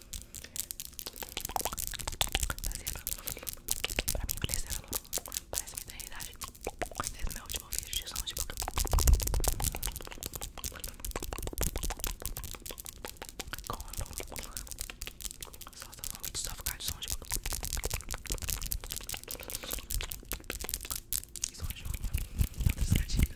Pra mim, parece Parece que tem idade. Esse é o meu último vídeo de som de boca. Com Só tá falando de só de som de boca. E som de unha. Outras gatinhas.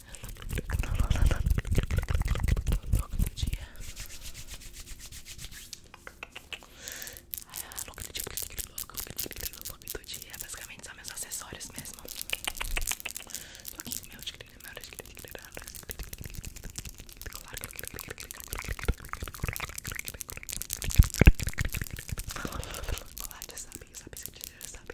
Logo do dia. Ah, logo do dia, logo do dia. Basicamente são meus acessórios mesmo. Toquinho meu de grilo, meu de grilo, Olá, já sabe, já sabe, já sabe,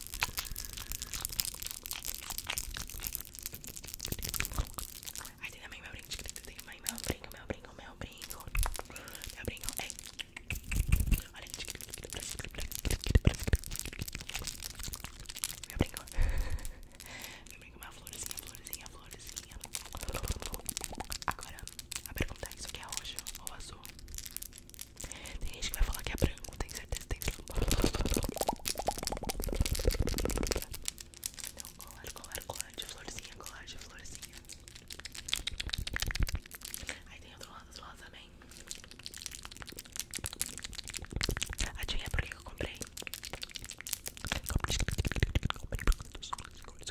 Aí tem também meu brinco, tem também meu brinco, meu brinco, meu brinco, meu brinco, é. Olha, meu brinco, meu brinco, uma florzinha, florzinha, florzinha. Agora, a pergunta é, isso aqui é roxo ou azul? Tem gente que vai falar que é branco, tem certeza, tem então colar, colar, colar de florzinha, colar de florzinha. Aí tem outro lado, outro lado também. Adivinha por que eu comprei? Comprei produtos de cores,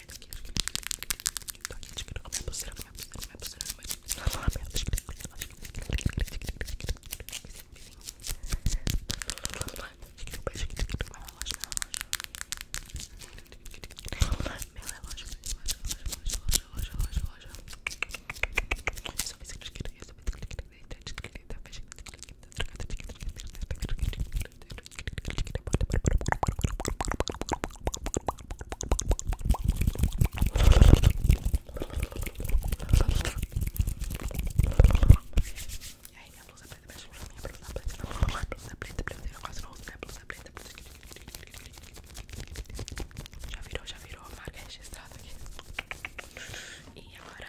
Ai, tô aqui, tô aqui, tô aqui, tô aqui, tô aqui, pulseira, minha pulseira, minha pulseira, minha pulseira, e aí minha blusa preta, minha blusa, minha blusa preta, minha blusa preta, preta, eu quase não uso minha blusa preta, já virou, já virou, a marca registrada aqui. E agora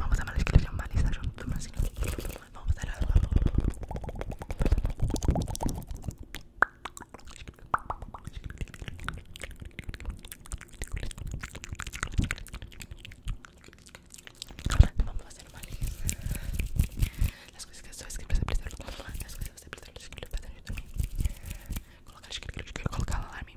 Vamos dar a escribir un malista juntos. Vamos a dar. Vamos a hacer mal. as coisas que estoy escribiendo se presentan. Las cosas que se presentan. Colocar, colocar alarme.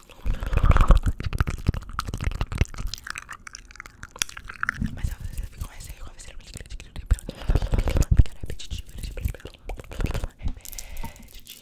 Mas às vezes fica mais seco, às vezes fica repetitivo, repetitivo, né? repetitivo.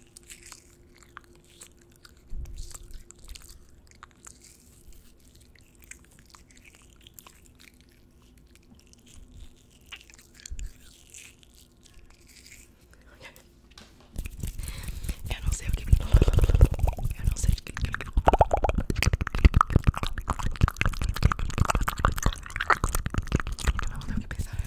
Eu não sei o que. Eu não sei o que. Eu não sei o que pensar.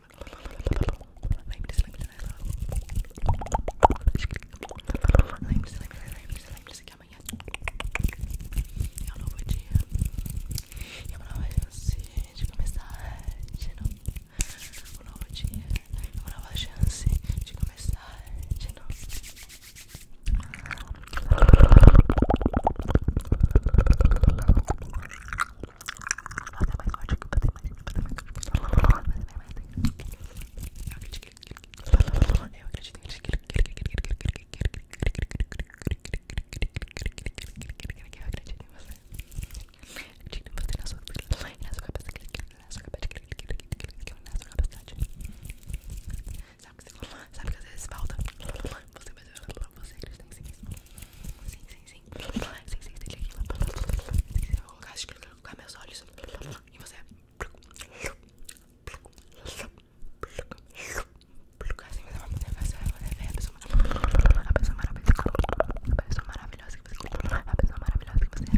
Lembre-se, lembre-se, lembre-se, lembre-se que amanhã é um novo dia e é uma nova chance de começar de novo. Um novo dia é uma nova chance de começar de novo. Fazer mais forte, fazer mais, fazer mais, fazer mais, Eu acredito que... Eu acredito em você. Acredito em você na sua vida, na sua capacidade, na sua capacidade, na sua capacidade. Sabe que você... Sabe que às vezes falta? Você vai fazer... Você acredita em si mesmo. Sim, sim, sim. Sim, sim, sim. Sim, sim, sim. Sim, sim, sim. Sim, sim, sim com meus olhos e você assim você vai fazer, você vai ver a pessoa maravilhosa, a pessoa maravilhosa que você é, a pessoa maravilhosa que você é.